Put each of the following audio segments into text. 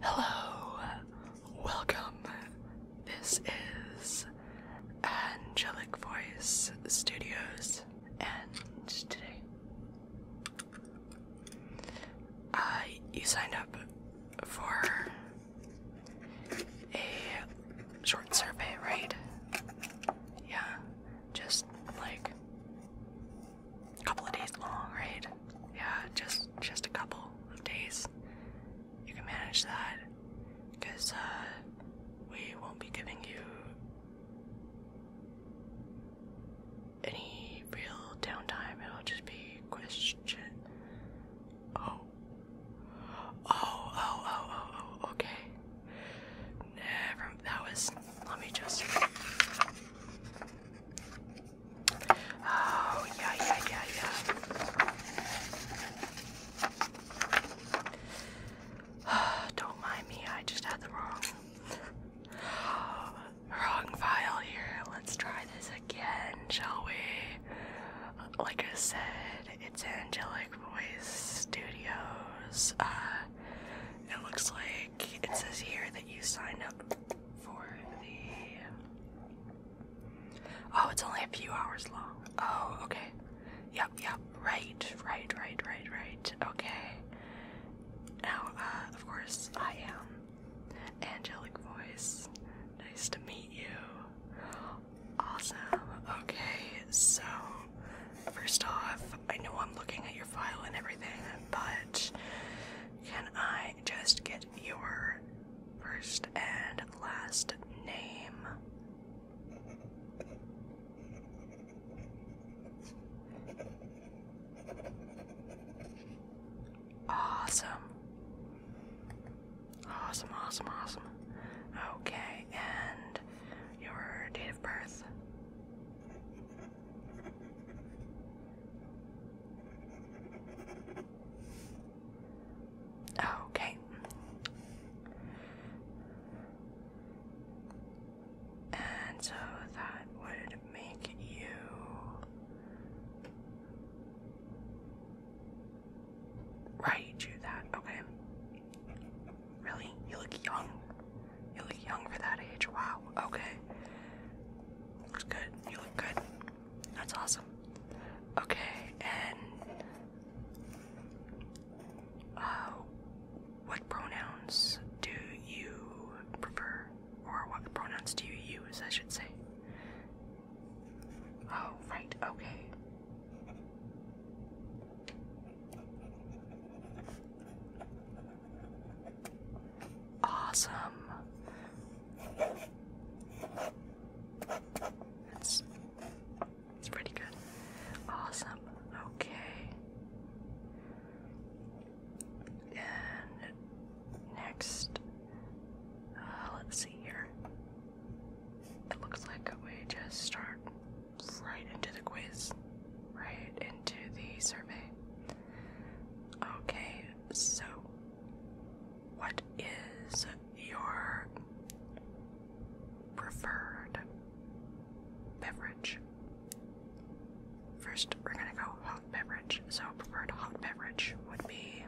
Hello, welcome. This is Angelic Voice Studios, and today I you signed up for a short survey, right? Yeah, just like a couple of days long, right? Yeah, just just a couple of days. You can manage that, because uh, we won't be giving you any real downtime. It'll just be question. Oh, oh, oh, oh, oh, oh okay. Never, that was, let me just, Oh, yeah, yeah, yeah, yeah. Don't mind me, I just had the wrong, wrong file here. Let's try this again, shall we? Like I said, it's Angelic Voice Studios. Uh, it looks like it says here that you sign up for the. Oh, it's only a few hours long. Oh, okay. Yep, yep. Right, right, right, right, right. Okay. Now, uh, of course, I am Angelic Voice. Nice to meet you. Awesome. Okay, so first off, I know I'm looking at your file and everything, but can I just get your first and last name? Awesome. Awesome, awesome, awesome. Okay, and your date of birth? Okay. And so that would make you right you that okay really you look young you look young for that age wow okay looks good you look good that's awesome. Okay, and uh, what pronouns do you prefer, or what pronouns do you use, I should say? Oh, right. Okay. Awesome. That's, that's pretty good. Awesome. Okay. And next, uh, let's see here. It looks like we just start right into the quiz, right into the survey. Okay, so what is your preferred beverage? First, we're gonna go hot beverage. So, preferred hot beverage would be.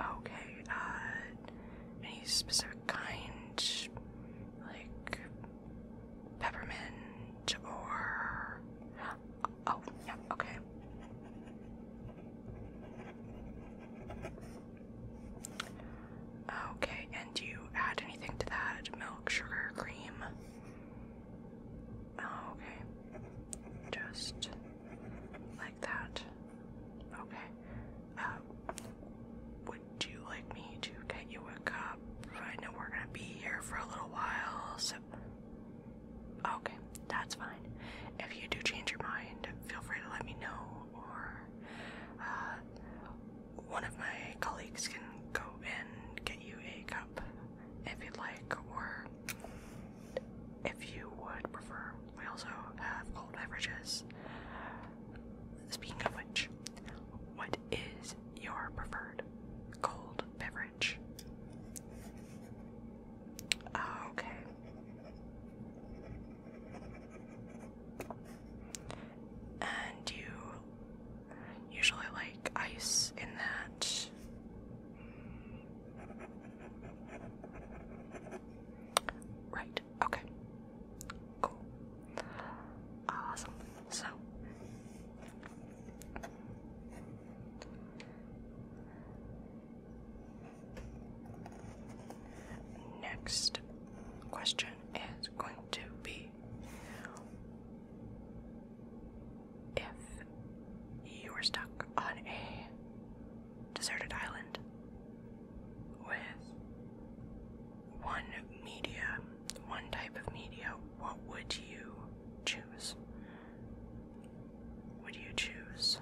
Okay, uh, any specific kind? Like peppermint or oh yeah okay okay and you add anything to that milk sugar cream oh, okay just like that okay uh, would you like me to get you a cup I know we're gonna be here for a little while, so okay, that's fine. If you do change your mind, feel free to let me know, or uh, one of my colleagues can go and get you a cup if you'd like, or if you would prefer. We also have cold beverages. Speaking of which, what is your preferred cold beverage? Ah, okay. And you usually like ice in that. Right, okay. Cool. Awesome. So next question is going to be if you were stuck on a deserted island with one media, one type of media, what would you choose? Would you choose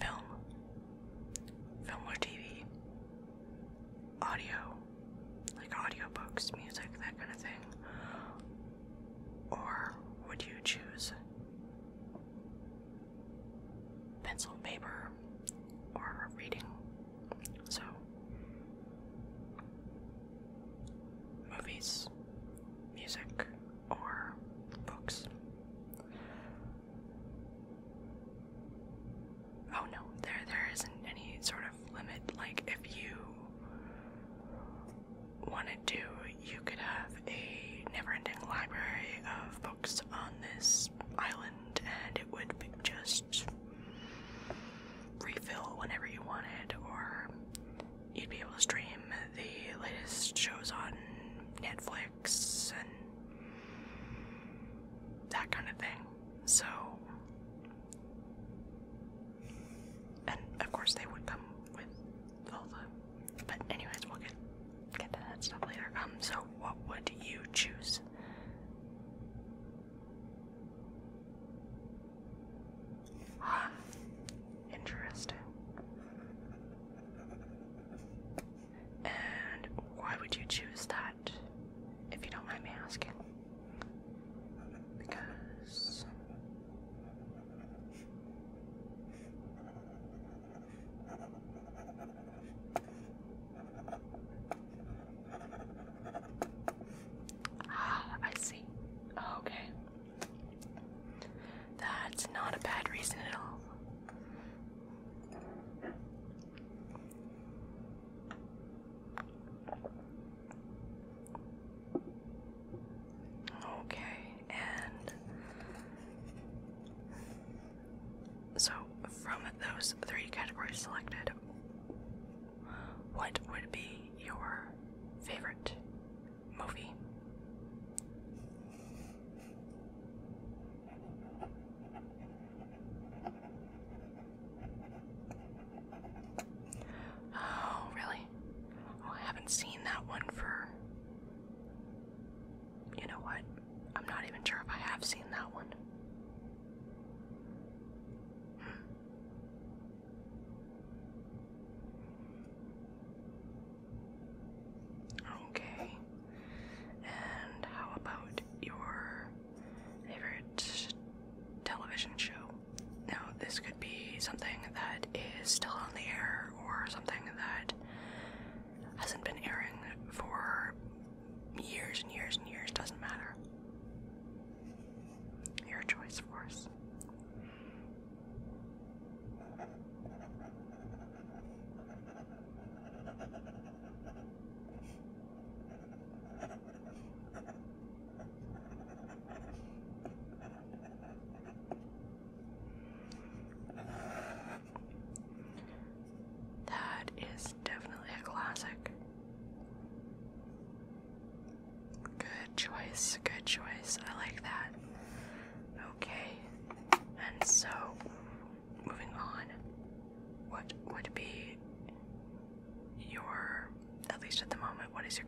film, film or TV, audio, like audiobooks, music, that kind of thing? Or would you choose pencil, paper, or reading? So, movies, music, or books. Oh no, there there isn't any sort of limit. Like if you wanted to, you could have a never-ending library of books on this island and it would just refill whenever you wanted, or you'd be able to stream the latest shows on Netflix and that kind of thing. So, and of course, they would come with all the. But anyways, we'll get get to that stuff later. Um, so what would you choose? Huh. Interesting. And why would you choose that, if you don't mind me asking? Because. Ah, I see. Oh, okay. That's not a bad reason at all. Okay, and so, from those three categories selected, what would be your favorite movie? Oh, really? Oh, I haven't seen that one for. You know what? I'm not even sure if I have seen that one. Hmm. Okay. And how about your favorite television show? Now, this could be something that is still on the air or something that hasn't been airing for years and years and years, doesn't matter. Your choice, of course. That is definitely a classic. Good choice, good choice. I like that. Okay, and so moving on, what would be your, at least at the moment, what is your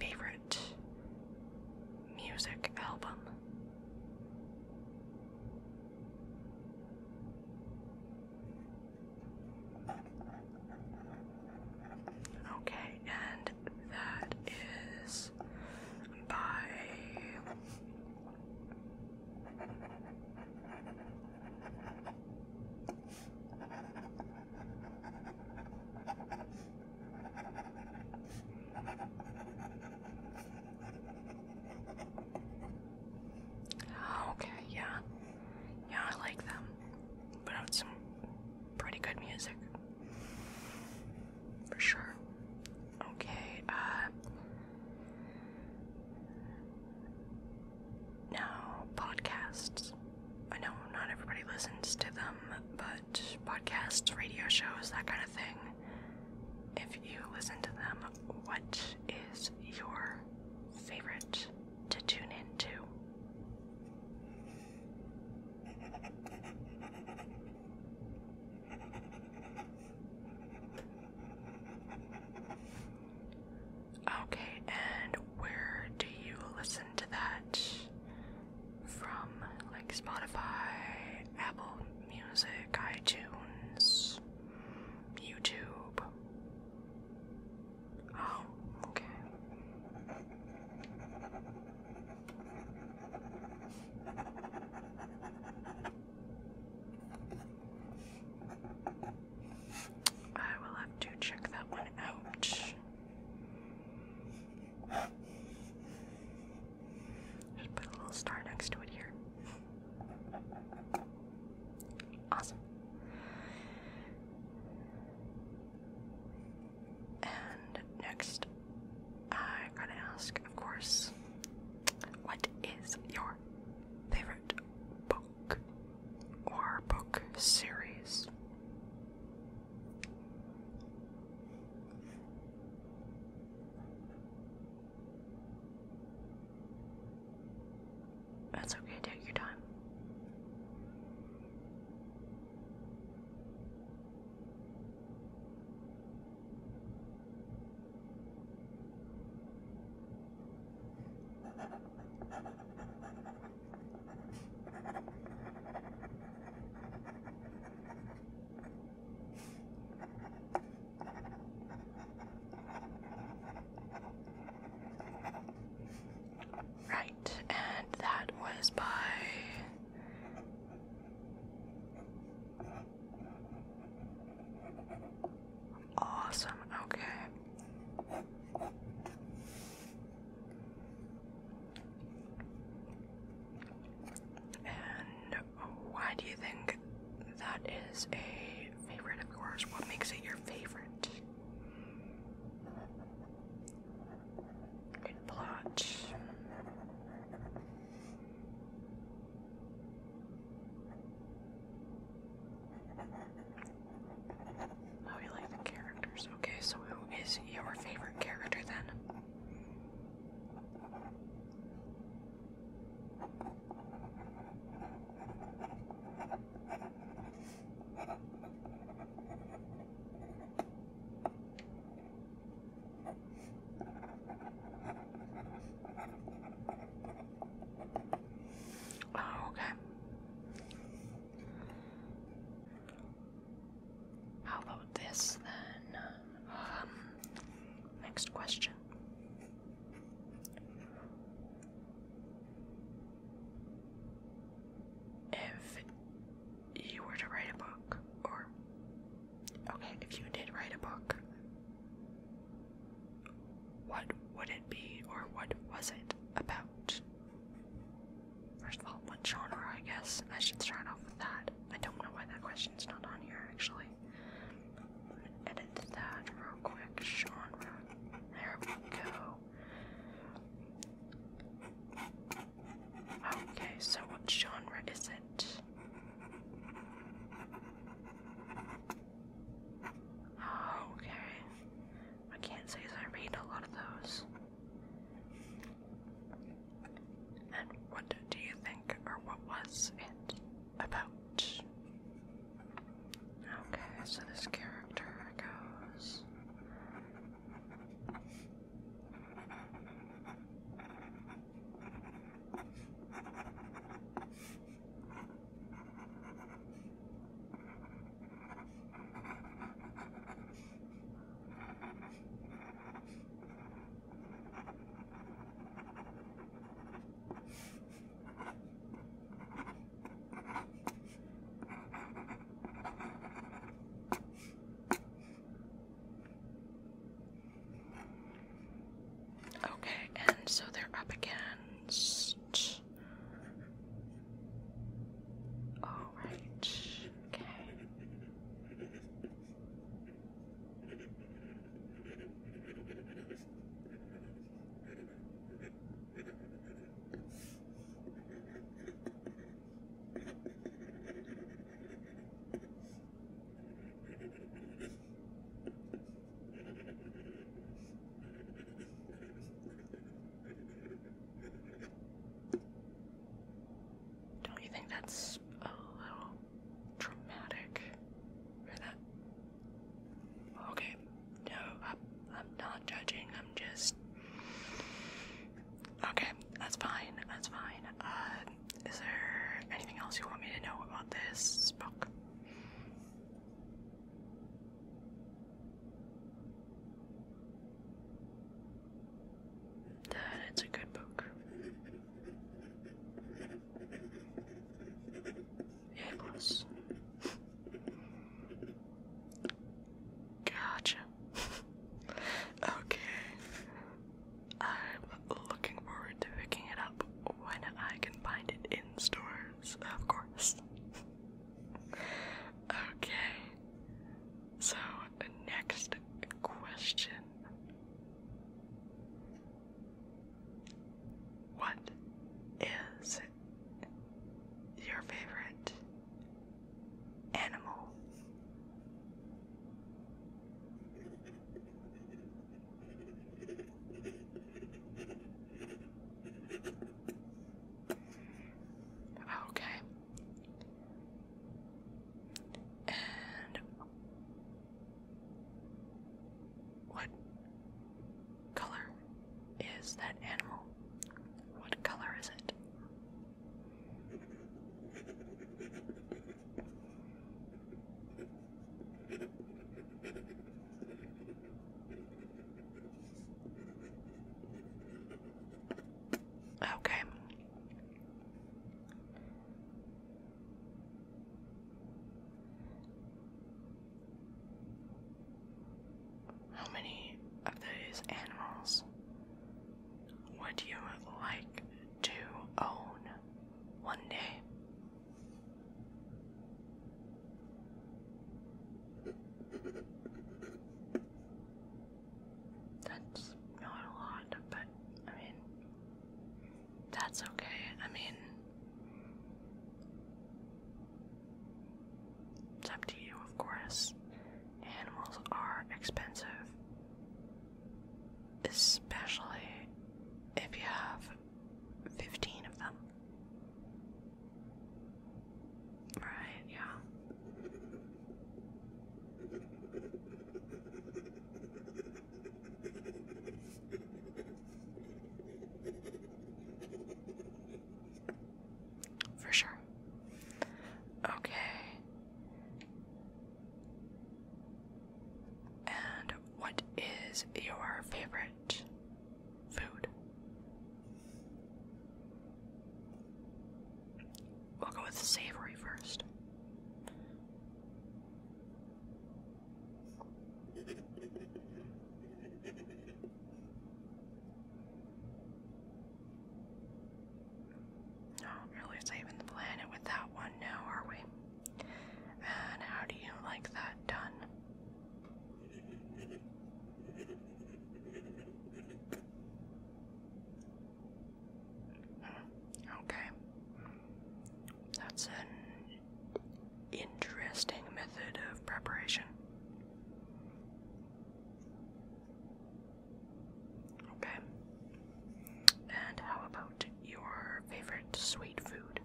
favorite music album? Okay, and that is by Oh, okay, yeah. Yeah, I like them. Put out some pretty good music. For sure. Okay, uh, Now, podcasts. I know not everybody listens to them, but podcasts, radio shows, that kind of thing. If you listen to them, what is your favorite to tune into. Okay, and where do you listen to that? From like Spotify, Apple Music, iTunes, YouTube. Oh, okay. I will have to check that one out. Just put a little star next to it here. Awesome. And next, I gotta ask, of course, what is your favorite book or book series? That's okay, take your time. Right, and that was by. Awesome, okay. And why do you think that is a favorite of yours? What makes it your favorite? Good plot. Oh, you like the characters. Okay, so who is your favorite character then? Oh, okay. How about this then? Um, next question. If you were to write a book, or okay, if you did write a book, what would it be, or what was it about? First of all, what genre, I guess. I should start off with that. I don't know why that question's not on here, actually edit that real quick. Genre. There we go. Okay, so what genre is it? Oh, okay. I can't say as I read a lot of those. And what do you think, or what was it? about. Okay, so this character goes. Okay, and so they're up against. All right. Okay. Don't you think that's a little dramatic for that Okay, no, I'm, I'm not judging, I'm just. Okay, that's fine, that's fine. Uh, is there anything else you want me to know about this book? That it's a good book. Nicholas. Gotcha. okay. I'm looking forward to picking it up when I can find it in stores, of course. okay. So, next question. What is your favorite animal? Okay. And what color is that animal? What color is it? Okay. How many of those animals would you like to own one day? That's not a lot, but I mean, that's okay. I mean, it's up to you, of course. Animals are expensive, especially if you have 15 of them. Right, yeah. For sure. Okay. And what is your favorite food? We'll go with savory first. Not oh, really saving the planet with that one now, are we? And how do you like that done? Hmm, okay. That's it interesting method of preparation. Okay. And how about your favorite sweet food?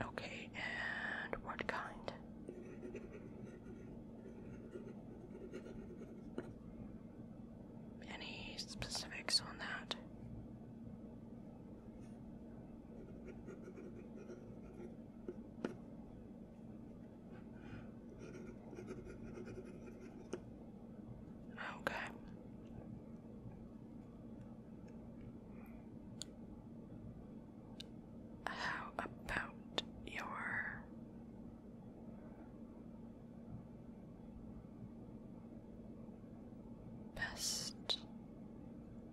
Okay, and what kind? Any specifics on that? Okay. How about your best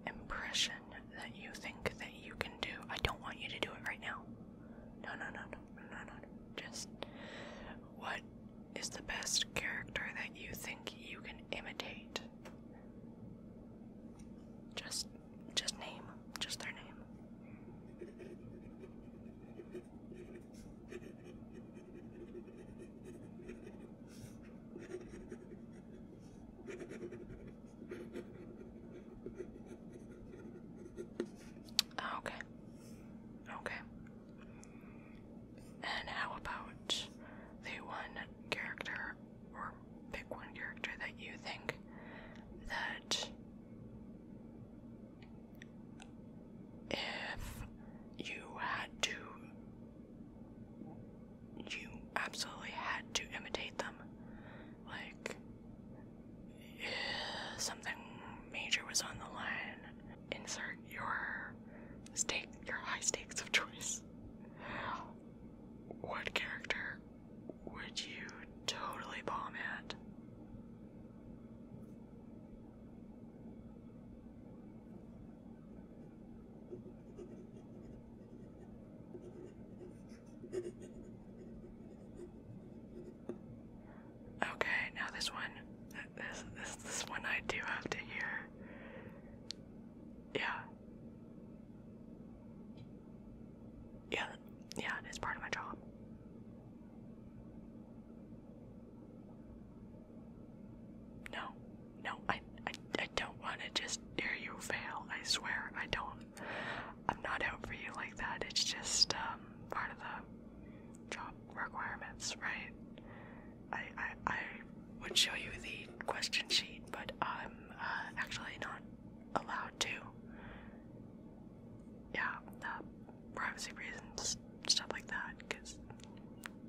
impression that you think that you can do. I don't want you to do it right now. No, no, no, no, no, no, Just what is the best character that you think you can imitate? Just just name, just their name. Ah, okay. Okay. And how about the one character, or pick one character that you think that if you had to, you absolutely had to imitate them. Like, if something major was on the line, insert your stake, your high stakes of choice. What character would you totally bomb it? Okay, now this one, this this this one I do have to hear. Yeah. Yeah, yeah, it is part of my job. No, no, I, I, I don't want to just hear you fail. I swear, I don't. I'm not out for you like that. It's just um, part of the job requirements, right? I, I, I would show you the question sheet, but I'm uh, actually not allowed to yeah, uh, privacy reasons, stuff like that. Cause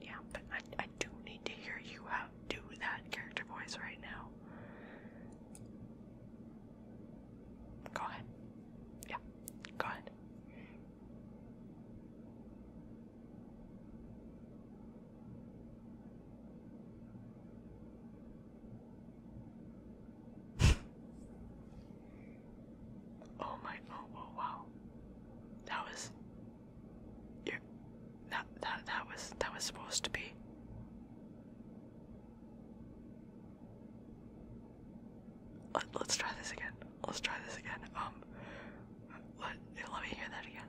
yeah, but I I do need to hear you out do that character voice right now. Go ahead. Yeah, go ahead oh my oh, oh wow, That was you that that that was that was supposed to be Let, let's try this again. Let's try this again. Um let let me hear that again.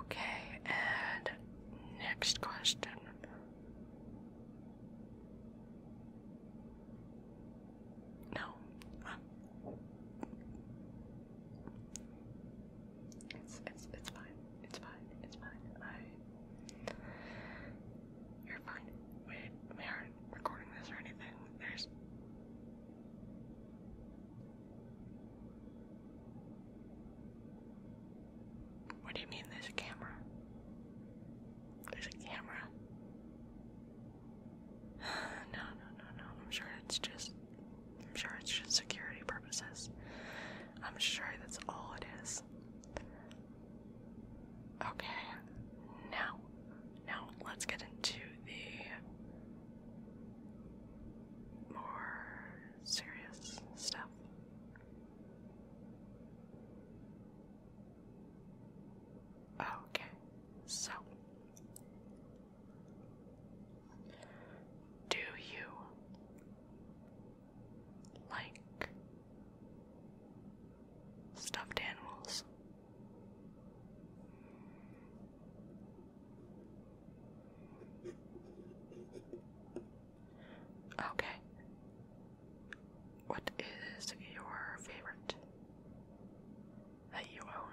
Okay, and next question. No. It's it's it's fine. It's fine. It's fine. I. You're fine. We we are recording this or anything. There's. What do you mean? There's a camera. There's a camera. no, no, no, no. I'm sure it's just. I'm sure it's just security purposes. I'm sure that's all it is. Okay, now, now let's get into the more serious stuff. Okay, so do you like stuffed animals. Okay. What is your favorite that you own?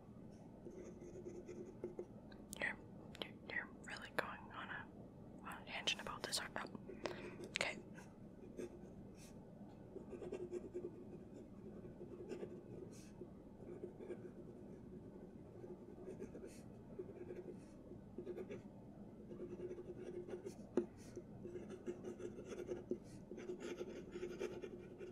You're, you're, you're really going on a, on a tangent about this, are Okay.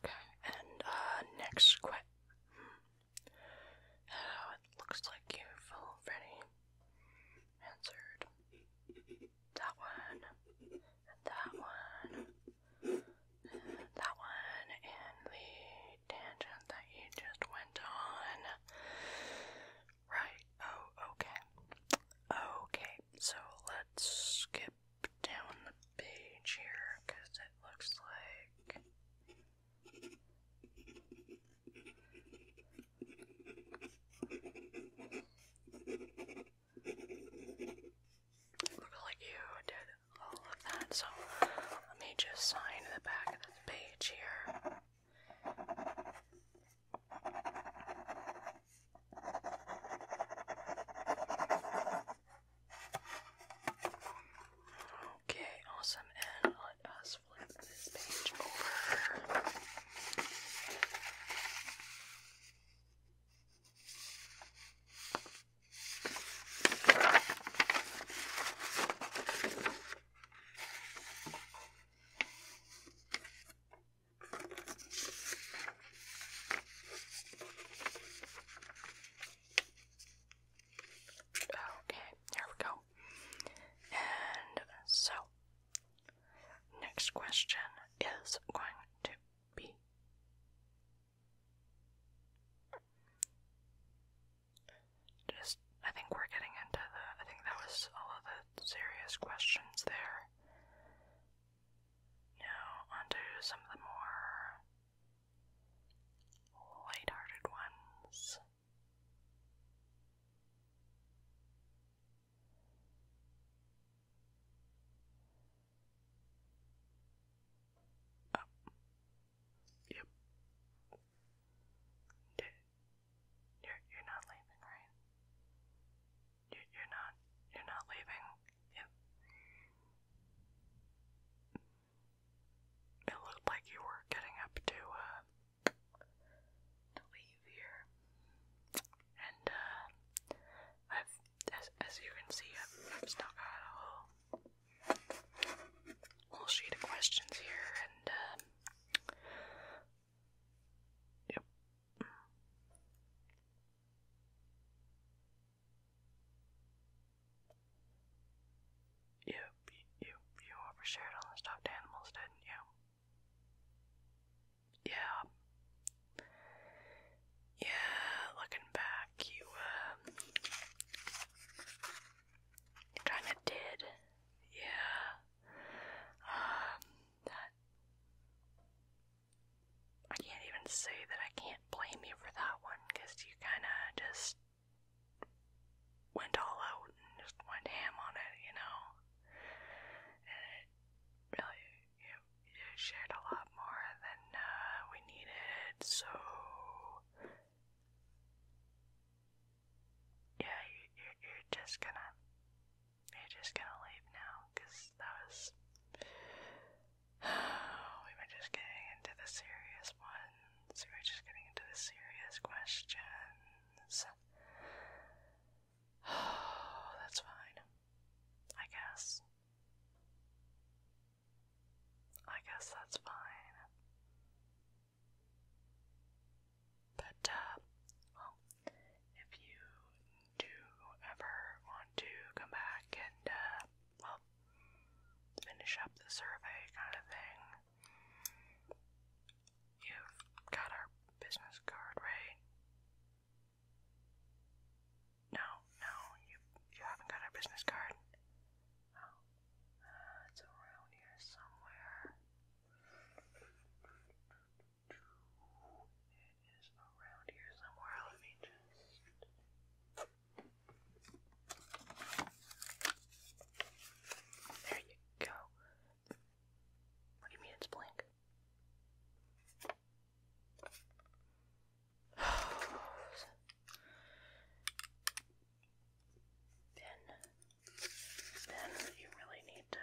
Okay, and uh, next question. Hmm, uh, it looks like you've already answered that one, that one, that one, and the tangent that you just went on. Right, oh, okay. Okay, so let's skip down the page here because it looks like. Looks like you did all of that, so let me just sign the back of this page here. Okay, awesome. And let us flip this page over. Okay, there we go. And so, next question is going to be just I think we're getting into the I think that was all of the serious questions there you onto some of the more light-hearted ones. Oh. Yep. Okay. You're you're not leaving, right? You you're not you're not leaving. It it looked like you were getting up to uh to leave here, and uh, I've as as you can see, I've, I've a whole whole sheet of questions here, and. Uh, Yep. You, you, you overshared on the stuffed animals, didn't you? Yeah. Yeah, looking back, you, uh, kinda did. Yeah. Um, that I can't even say that I can't blame you for that one because you kind of just went all out and just went ham on it, you know. And it really, you, you shared a lot more than uh, we needed, so yeah, you, you, you're just gonna you're just gonna leave now, that was. we were just getting into the serious ones. We were just getting into the serious questions. Oh, that's fine. I guess. I guess that's fine. But, uh, well, if you do ever want to come back and, uh, well, finish up the survey kind of thing, you've got our business card, right? No, no, you, you haven't got our business card. Oh, uh, it's around here somewhere. It is around here somewhere. Let me just. There you go. What do you mean it's blank? then, then you really need to.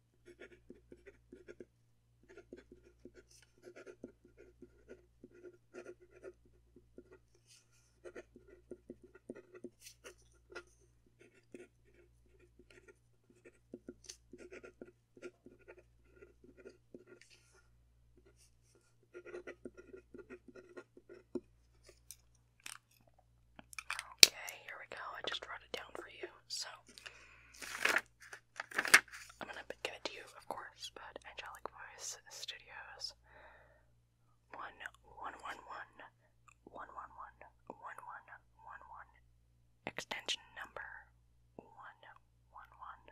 Okay, here we go. I just wrote it down for you. So I'm gonna give it to you, of course, but Angelic Voice Studios. One one one one one one one one one one one extension number one one one.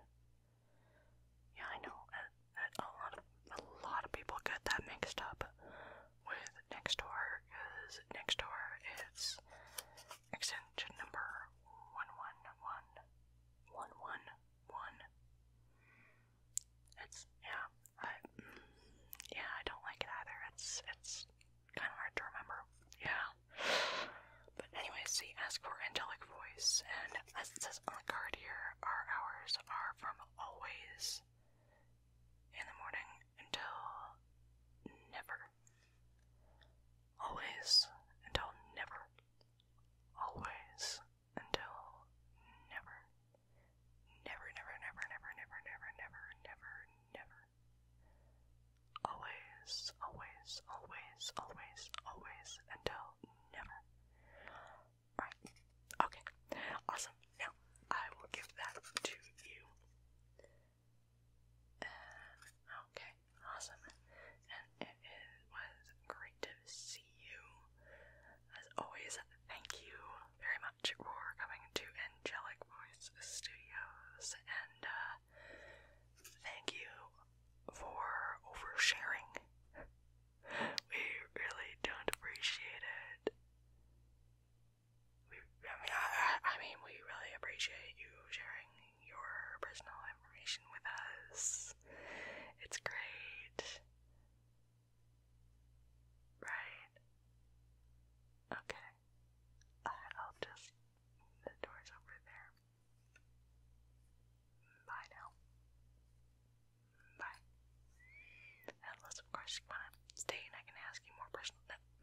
Yeah, I know uh, that a lot of a lot of people get that mixed up with next door because next door is extension number 111111. It's, yeah, I, yeah, I don't like it either. It's, it's kind of hard to remember. Yeah. But anyways, see, ask for angelic voice, and as it says on the card here, our hours are from always in the morning until never. Always until never. Always until never. Never, never, never, never, never, never, never, never, Always, always, always, always, always until never. Right. Okay. Awesome. Now I will give that to you. Uh, okay, awesome. And it, was great to see you. As always, thank you very much for coming to Angelic Voice Studios, and uh, thank you for oversharing. we really don't appreciate it. I mean, I, mean, we really appreciate you sharing your personal information with us. It's great. Right? Okay. I'll just. The door's over there. Bye now. Bye. Unless, of course, stay and I can ask you more personal.